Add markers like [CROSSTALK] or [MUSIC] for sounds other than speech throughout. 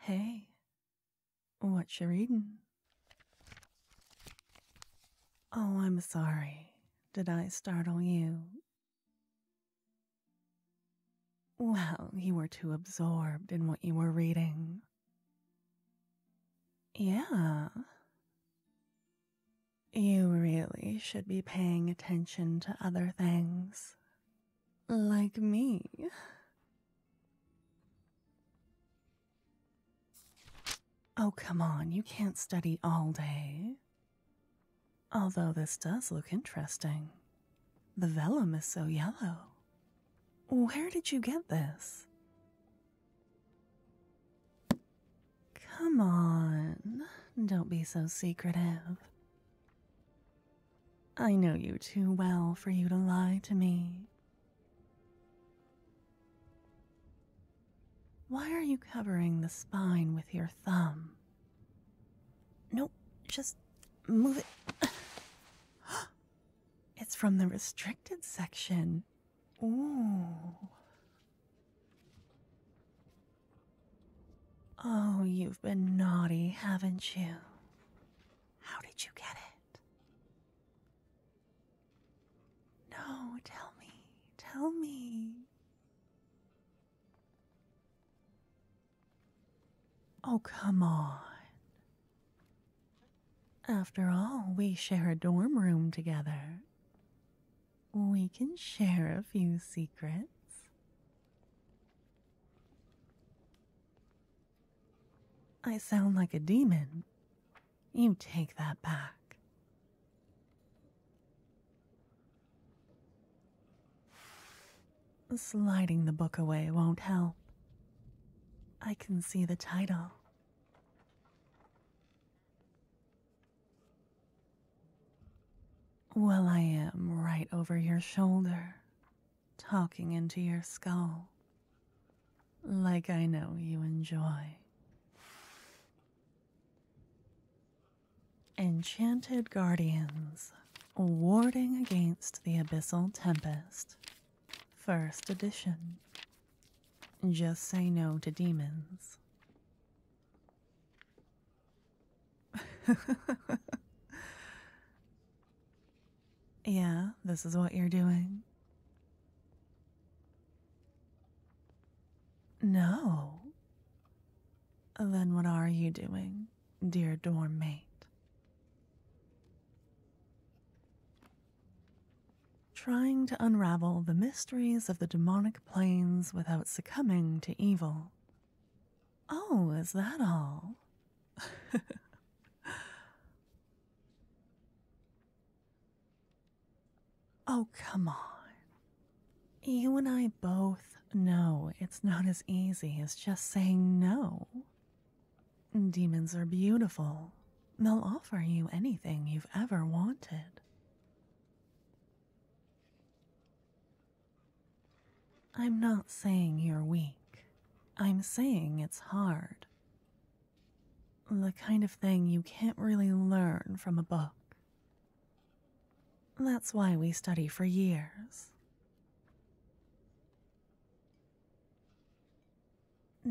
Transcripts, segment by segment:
Hey, what you reading? Oh, I'm sorry. Did I startle you? Well, you were too absorbed in what you were reading. Yeah. You really should be paying attention to other things, like me. Oh, come on, you can't study all day. Although this does look interesting. The vellum is so yellow. Where did you get this? Come on, don't be so secretive. I know you too well for you to lie to me. Why are you covering the spine with your thumb? Nope, just move it. [GASPS] it's from the restricted section. Ooh. Oh, you've been naughty, haven't you? How did you get it? No, tell me, tell me. Oh, come on. After all, we share a dorm room together. We can share a few secrets. I sound like a demon. You take that back. Sliding the book away won't help. I can see the title. Well, I am right over your shoulder, talking into your skull, like I know you enjoy. Enchanted Guardians, Warding Against the Abyssal Tempest, First Edition. Just say no to demons. [LAUGHS] yeah, this is what you're doing. No. Then what are you doing, dear dorm mate? Trying to unravel the mysteries of the demonic planes without succumbing to evil. Oh, is that all? [LAUGHS] oh, come on. You and I both know it's not as easy as just saying no. Demons are beautiful, they'll offer you anything you've ever wanted. I'm not saying you're weak. I'm saying it's hard. The kind of thing you can't really learn from a book. That's why we study for years.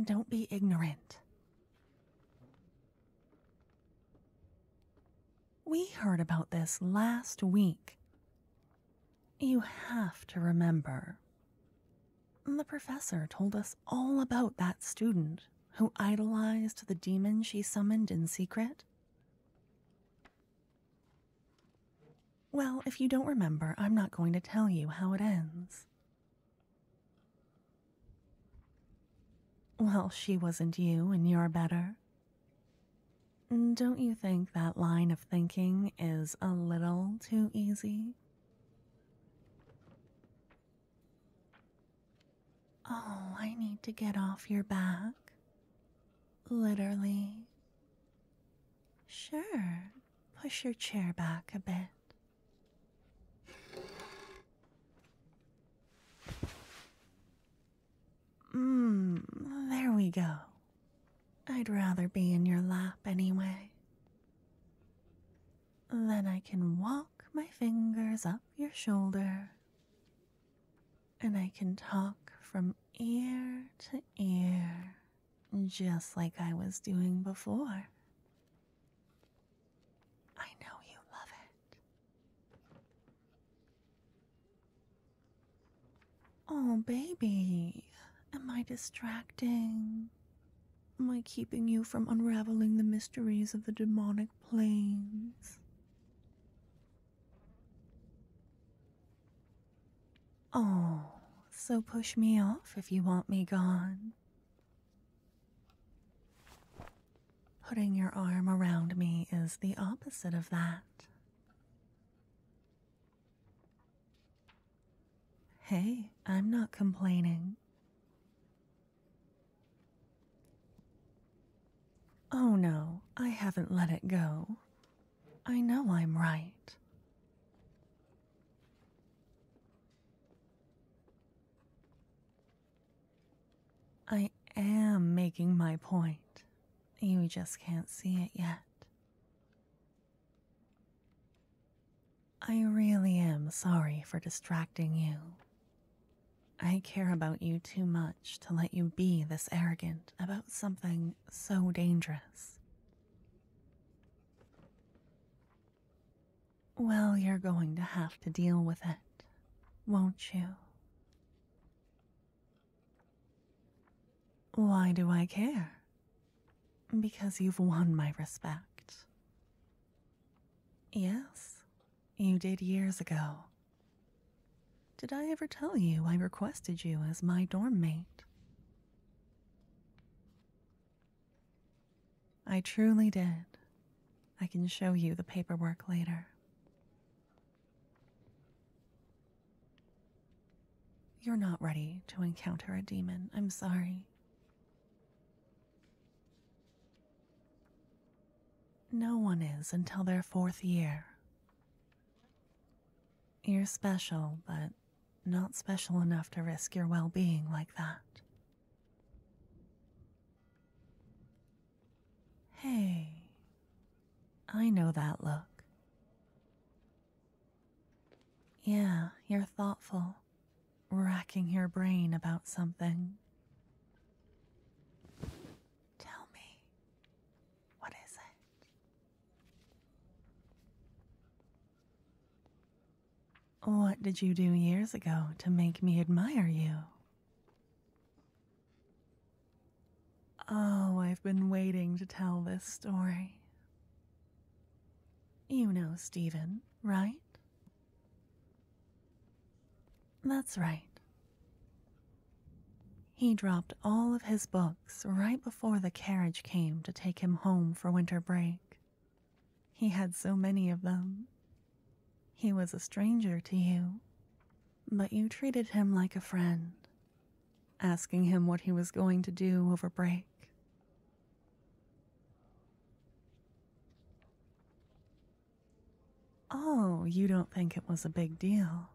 Don't be ignorant. We heard about this last week. You have to remember. The professor told us all about that student who idolized the demon she summoned in secret. Well, if you don't remember, I'm not going to tell you how it ends. Well, she wasn't you, and you're better. Don't you think that line of thinking is a little too easy? Oh, I need to get off your back. Literally. Sure, push your chair back a bit. Mmm, there we go. I'd rather be in your lap anyway. Then I can walk my fingers up your shoulder and I can talk from ear to ear just like I was doing before. I know you love it. Oh, baby, am I distracting? Am I keeping you from unraveling the mysteries of the demonic planes? Oh, so push me off if you want me gone. Putting your arm around me is the opposite of that. Hey, I'm not complaining. Oh no, I haven't let it go. I know I'm right. I am making my point. You just can't see it yet. I really am sorry for distracting you. I care about you too much to let you be this arrogant about something so dangerous. Well, you're going to have to deal with it, won't you? Why do I care? Because you've won my respect. Yes, you did years ago. Did I ever tell you I requested you as my dorm mate? I truly did. I can show you the paperwork later. You're not ready to encounter a demon, I'm sorry. No one is until their fourth year. You're special, but not special enough to risk your well being like that. Hey, I know that look. Yeah, you're thoughtful, racking your brain about something. Tell me, what is it? What did you do years ago to make me admire you? Oh, I've been waiting to tell this story. You know Stephen, right? That's right. He dropped all of his books right before before the carriage came to take him home for winter break. He had so many of them. He was a stranger to you, but you treated him like a friend, asking him what he was going to do over break. Oh, you don't think it was a big deal?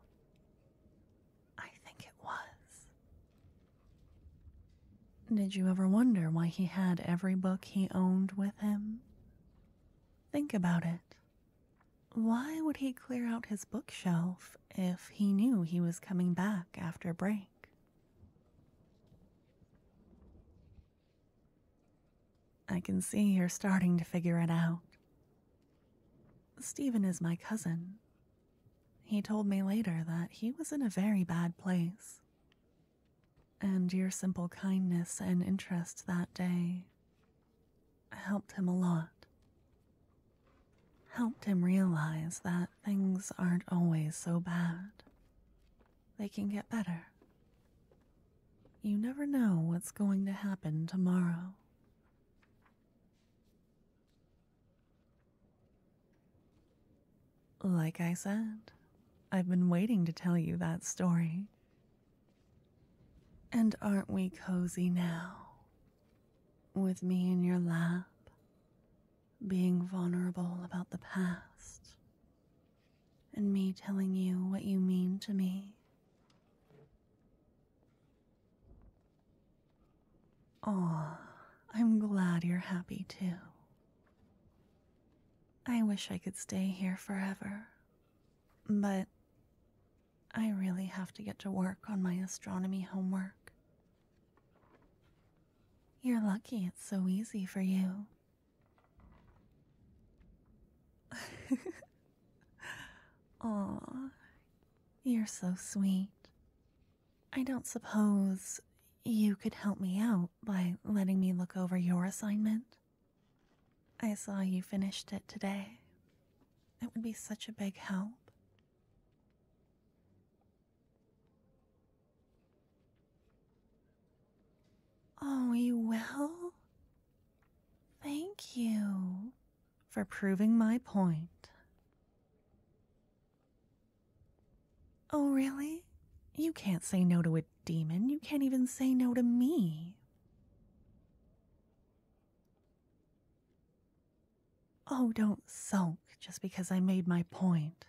I think it was. Did you ever wonder why he had every book he owned with him? Think about it. Why would he clear out his bookshelf if he knew he was coming back after break? I can see you're starting to figure it out. Stephen is my cousin, he told me later that he was in a very bad place. And your simple kindness and interest that day helped him a lot. Helped him realize that things aren't always so bad, they can get better. You never know what's going to happen tomorrow. Like I said, I've been waiting to tell you that story. And aren't we cozy now? With me in your lap, being vulnerable about the past, and me telling you what you mean to me. Aw, I'm glad you're happy too. I wish I could stay here forever, but I really have to get to work on my astronomy homework. You're lucky it's so easy for you. [LAUGHS] [LAUGHS] Aw, you're so sweet. I don't suppose you could help me out by letting me look over your assignment? I saw you finished it today. It would be such a big help. Oh, you will? Thank you for proving my point. Oh, really? You can't say no to a demon. You can't even say no to me. Oh, don't sulk just because I made my point.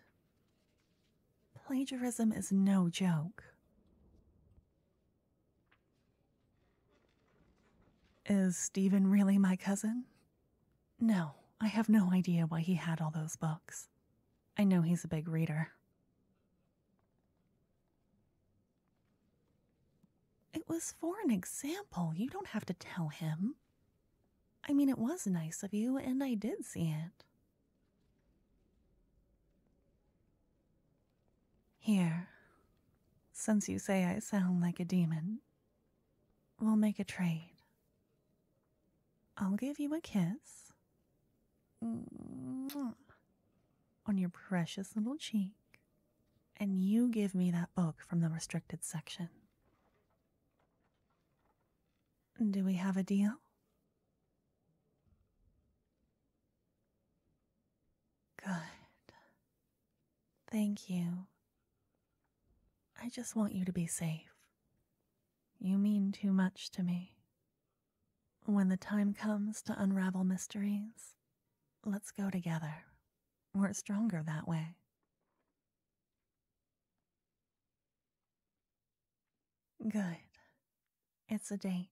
Plagiarism is no joke. Is Stephen really my cousin? No, I have no idea why he had all those books. I know he's a big reader. It was for an example. You don't have to tell him. I mean, it was nice of you, and I did see it. Here, since you say I sound like a demon, we'll make a trade. I'll give you a kiss on your precious little cheek, and you give me that book from the restricted section. Do we have a deal? Good. Thank you. I just want you to be safe. You mean too much to me. When the time comes to unravel mysteries, let's go together. We're stronger that way. Good. It's a date.